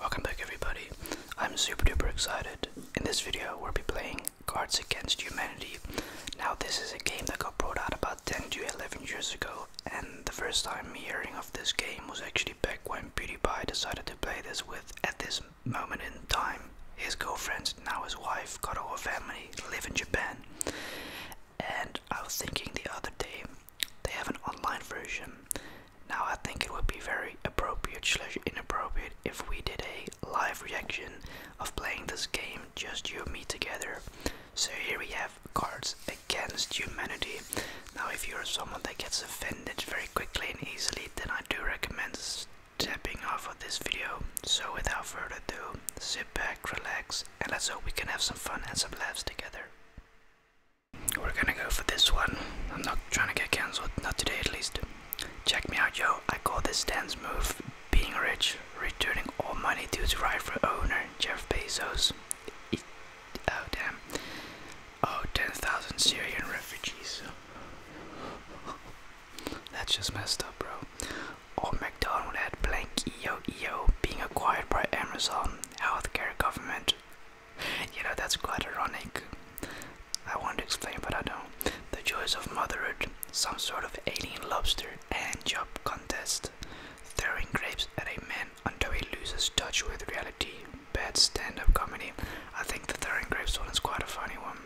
Welcome back everybody, I'm super duper excited. In this video we'll be playing Cards Against Humanity. Now this is a game that got brought out about 10 to 11 years ago and the first time hearing of this game was actually back when PewDiePie decided to play this with, at this moment in time, his girlfriend, now his wife, got a whole family, live in Japan. And I was thinking the other day, they have an online version. Now, I think it would be very appropriate slash inappropriate if we did a live reaction of playing this game, just you and me together. So here we have Cards Against Humanity. Now, if you're someone that gets offended very quickly and easily, then I do recommend stepping off of this video. So without further ado, sit back, relax, and let's hope we can have some fun and some laughs together. We're gonna go for this one. I'm not trying to get cancelled, not today at least. Check me out, yo. I call this dance move being rich, returning all money due to rightful owner Jeff Bezos. oh, damn. Oh, 10,000 Syrian refugees. That's just messed up, bro. Or McDonald had blank EO EO being acquired by Amazon, healthcare, government, you know, that's quite ironic. I want to explain, but I don't. The joys of motherhood, some sort of alien lobster and job contest, throwing grapes at a man until he loses touch with reality. Bad stand up comedy. I think the throwing grapes one is quite a funny one.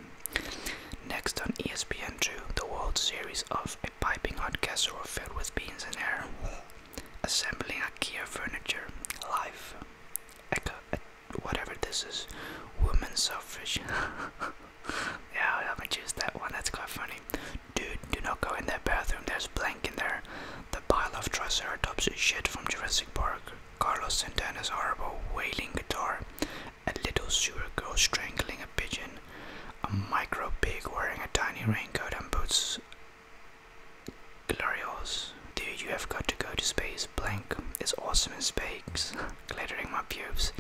Next on ESPN2, the World Series of a piping hot casserole filled with beans and air assembling IKEA furniture, life, whatever this is, Women's suffrage. yeah, I haven't used that one, that's quite funny. Dude, do not go in that bathroom, there's blank in there. The pile of triceratops shit from Jurassic Park. Carlos Santana's horrible wailing guitar. A little sewer girl strangling a pigeon. A micro pig wearing a tiny raincoat and boots Glorious, dude, you have got to go to space. Blank It's awesome in space. Glittering my pubes,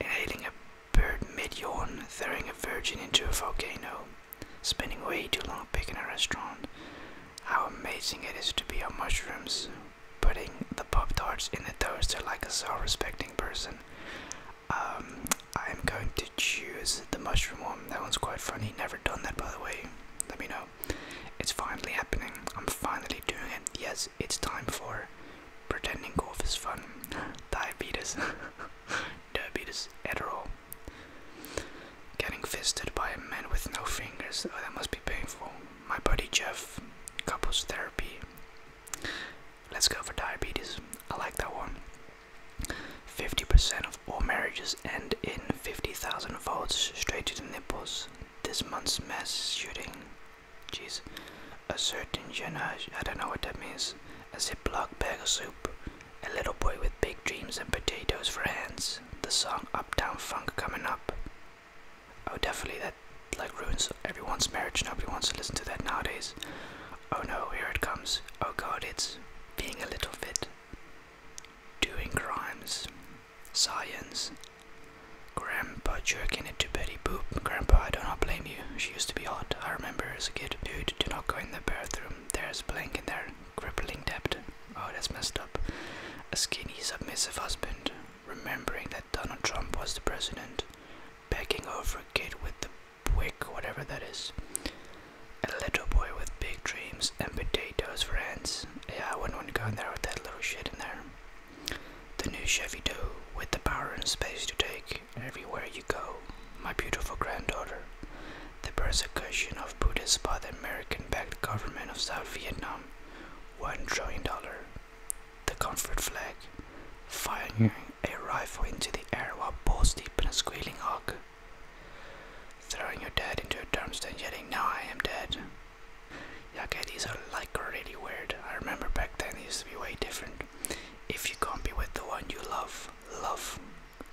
inhaling a bird mid yawn, throwing a virgin into a volcano, spending way too long picking a restaurant. How amazing it is to be on mushrooms, putting the pop tarts in the toaster like a self respecting person. Um, I'm going to choose the mushroom one. That one's quite funny. Never done that, by the way. Let me know. It's finally happening. I'm finally doing it. Yes, it's time for pretending golf is fun. Diabetes. Diabetes. Adderall. Getting fisted by a man with no fingers. Oh, that must be painful. My buddy Jeff. Couples therapy. Let's go for diabetes. I like that one. 50% of all marriages end in 50,000 volts straight to the nipples. This month's mass shooting. Jeez. A certain genage, I don't know what that means. A ziploc bag of soup. A little boy with big dreams and potatoes for hands. The song Uptown Funk coming up. Oh, definitely that like ruins everyone's marriage. Nobody wants to listen to that nowadays. Oh no, here it comes. Oh god, it's being a little bit Doing crimes. Science. Grandpa jerking it to Betty Boop. Grandpa, I do not blame you. She used to be hot. I remember as a kid. Dude, do not go in the bathroom. There's blank in there. Crippling debt. Oh, that's messed up. A skinny, submissive husband. Remembering that Donald Trump was the president. Begging over a kid with the Buick, whatever that is. A little boy with big dreams and potatoes for hands. Yeah, I wouldn't want to go in there with that little shit in there. The new Chevy Doo with the power and space to take everywhere you go. My beautiful granddaughter. The persecution of Buddhists by the American backed government of South Vietnam. $1 trillion the comfort flag, firing a rifle into the air while balls deep in a squealing hog. Throwing your dad into a dumpster yelling, Now I am dead. Yeah, okay, these are like really weird. I remember back then it used to be way different. If you can't be with the one you love, love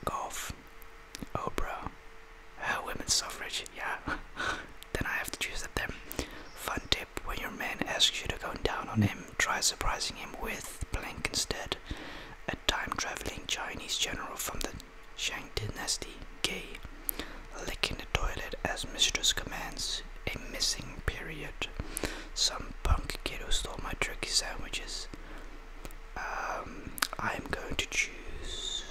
golf. Oh, bro. women's suffrage, yeah. then I have to choose at them. Fun tip when your man asks you to go down on him, try surprising him with blank instead, a time-traveling Chinese general from the Shang dynasty, gay, licking the toilet as mistress commands, a missing period, some punk kid who stole my turkey sandwiches. Um, I'm going to choose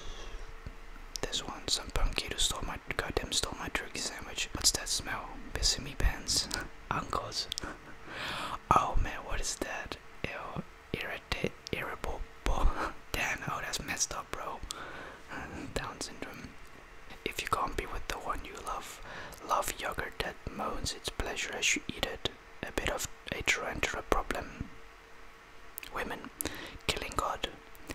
this one. Some punk kid who stole my goddamn stole my turkey sandwich. What's that smell? Oh, Bissumi pants. Uncles. Oh man, what is that? Ew, irritate, irritable. Damn, oh that's messed up, bro. Down syndrome. If you can't be with the one you love, love yogurt that moans its pleasure as you eat it. A bit of a tarantula problem. Women, killing God,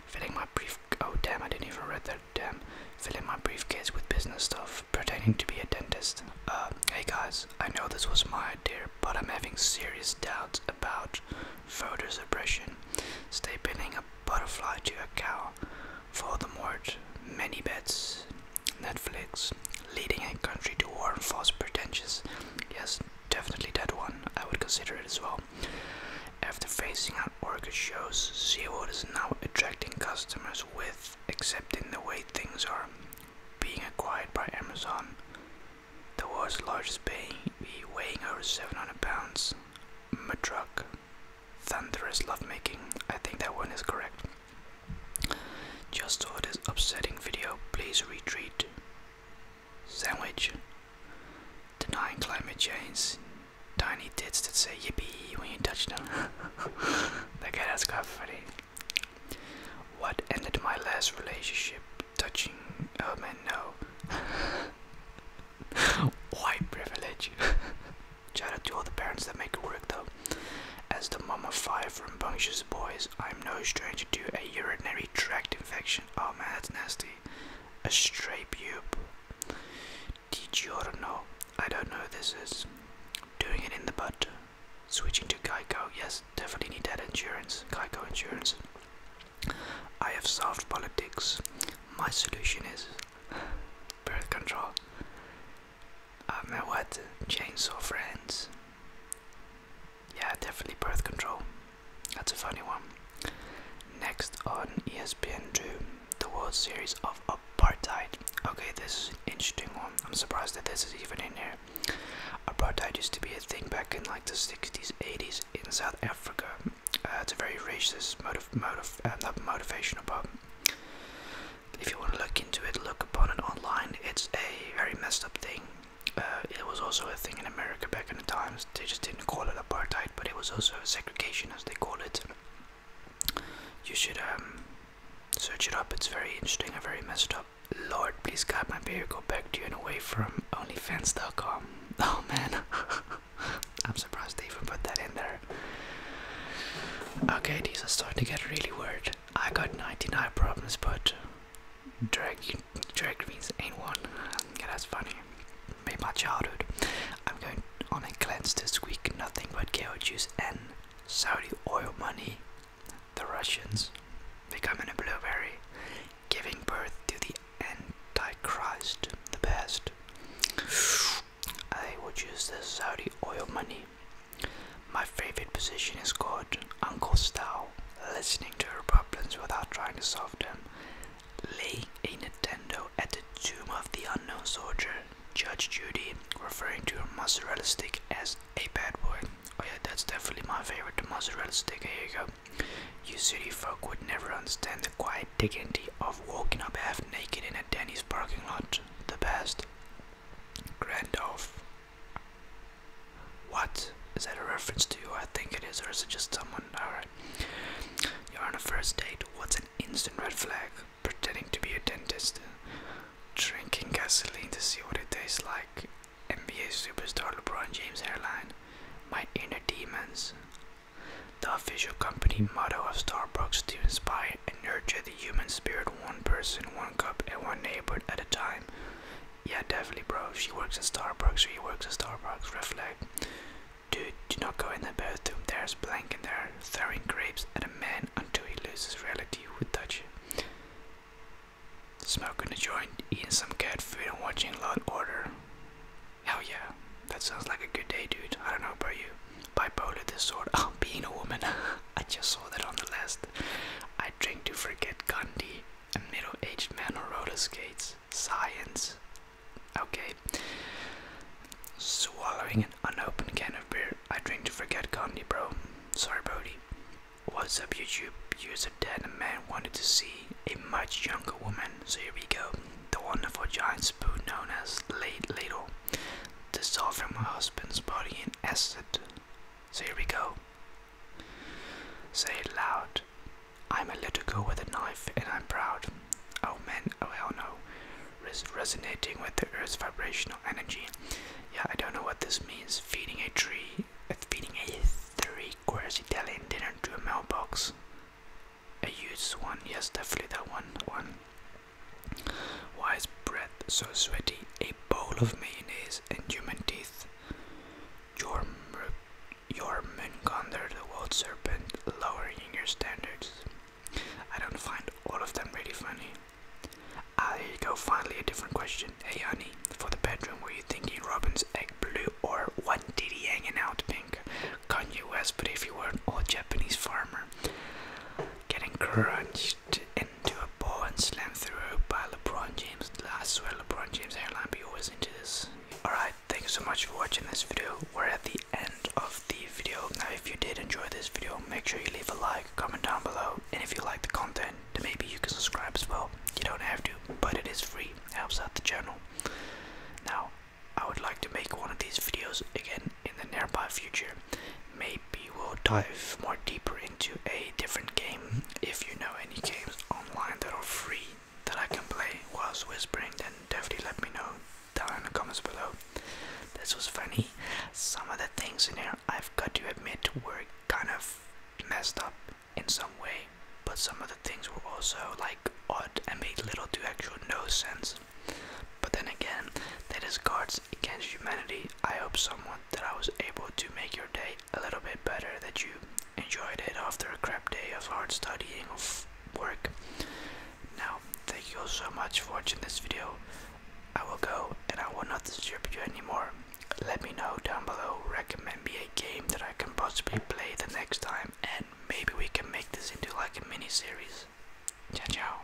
filling brief oh damn I didn't even read that damn fill in my briefcase with business stuff pertaining to be a dentist. Uh hey guys, I know this was my idea, but I'm having serious doubts about voter suppression. Stapling a butterfly to a cow for the mort many bets Netflix leading a country to war and false pretensions. Yes, definitely that one. I would consider it as well. After facing out Orca shows, SeaWorld is now attracting customers with accepting the way things are. Being acquired by Amazon, the world's largest baby weighing over 700 pounds, Madruk, Thunderous Lovemaking, I think that one is correct. Just saw this upsetting video, please retreat. Sandwich. Denying climate change, tiny tits that say yippee when you touch them. that guy, that's quite funny. What ended my last relationship? Touching. Oh man, no. White privilege. Shout out to all the parents that make it work though. As the mom of five rambunctious boys, I'm no stranger to a urinary tract infection. Oh man, that's nasty a stray pube. Did you know? I don't know this is. Doing it in the butt. Switching to Geico. Yes, definitely need that insurance. Geico insurance. I have solved politics. My solution is birth control. I uh, mean, what? Chainsaw friends. Yeah, definitely birth control. That's a funny one. Next on ESPN2, the World Series of Apartheid. Okay, this is an interesting one. I'm surprised that this is even in here. Apartheid used to be a thing back in like the 60s, 80s in South Africa. Uh, it's a very racist mode of, mode motivational, but if you want to look into it, look upon it online. It's a very messed up thing. Uh, it was also a thing in America back in the times they just didn't call it apartheid, but it was also segregation, as they call it. You should um, search it up. It's very interesting and very messed up. Lord, please God, my beer go back to you and away from OnlyFans.com. Oh man, I'm surprised they even put that in there. Okay, these are starting to get really weird. I got 99 problems, but drag drag means anyone. Yeah, that's funny. Made my childhood. I'm going on a cleanse this week. Nothing but kale juice and Saudi oil money. The Russians becoming a blueberry, giving birth to the Antichrist. The best. I will choose the Saudi oil money. My favorite position is called Uncle style listening to her problems without trying to solve them, laying a Nintendo at the tomb of the unknown soldier, Judge Judy, referring to her mozzarella stick as a bad boy. Oh yeah, that's definitely my favorite, the mozzarella stick, here you go. You city folk would never understand the quiet dignity of walking up half naked in a Denny's parking lot. The best. Grandolph. What? Is that a reference to I think it is, or is it just someone? Alright. You're on a first date. What's an instant red flag? Pretending to be a dentist. Drinking gasoline to see what it tastes like. NBA superstar LeBron James hairline. My inner demons. The official company motto of Starbucks to inspire and nurture the human spirit one person, one cup, and one neighborhood at a time. Yeah, definitely, bro. She works at Starbucks. She works at Starbucks. Reflect. Dude, do not go in the bathroom. There's blank in there. Throwing grapes at a man until he loses reality Who touch you. Smoking a joint, eating some cat food, and watching Law and Order. Hell yeah. That sounds like a good day, dude. I don't know about you. Bipolar disorder. Oh, being a woman. I just saw that on the list. I drink to forget Gandhi. A middle aged man on roller skates. Science. Okay. Swallowing an unopened can of beer. I drink to forget Gandhi, bro. Sorry, Brody. What's up, YouTube? User dead. A man wanted to see a much younger woman. So here we go. The wonderful giant spoon known as Late Ladle. from my husband's body in acid. So here we go. Say it loud. I'm a little girl with a knife and I'm proud. Oh men! oh hell no. resonating with the earth's vibrational energy. Yeah, I don't know what this means. Feeding a tree, uh, feeding a three course Italian dinner to a mailbox. A used one, yes, definitely that one. One. Why is bread so sweaty? A bowl of mayonnaise and human teeth men under the world serpent, lowering your standards. I don't find all of them really funny. Ah, here you go, finally a different question. Hey honey, for the bedroom, were you thinking Robin's egg blue or one did hanging out pink? Kanye West, but if you were an old Japanese farmer. Getting crunched into a ball and slammed through by LeBron James. I swear, LeBron James hairline be always into this. Alright, thank you so much for watching this video. We're at the end of the video. Now, if you did enjoy this video, make sure you leave a like, comment down below, and if you like the content, then maybe you can subscribe as well. You don't have to, but it is free, it helps out the channel. Now, I would like to make one of these videos again in the nearby future, maybe we'll dive more deeper into a different game. If you know any games online that are free that I can play whilst whispering, then definitely let me know down in the comments below. This was funny. Some of the things in here, I've got to admit, were kind of messed up in some way, but some of the things were also like odd and made little to actual no sense. But then again, that is cards against humanity, I hope someone that I was able to make your day a little bit better, that you enjoyed it after a crap day of hard studying of work. Now, thank you all so much for watching this video. I will go and I will not disturb you anymore. Let me know down below, recommend me a game that I can possibly play the next time and maybe we can make this into like a mini series. Ciao ciao.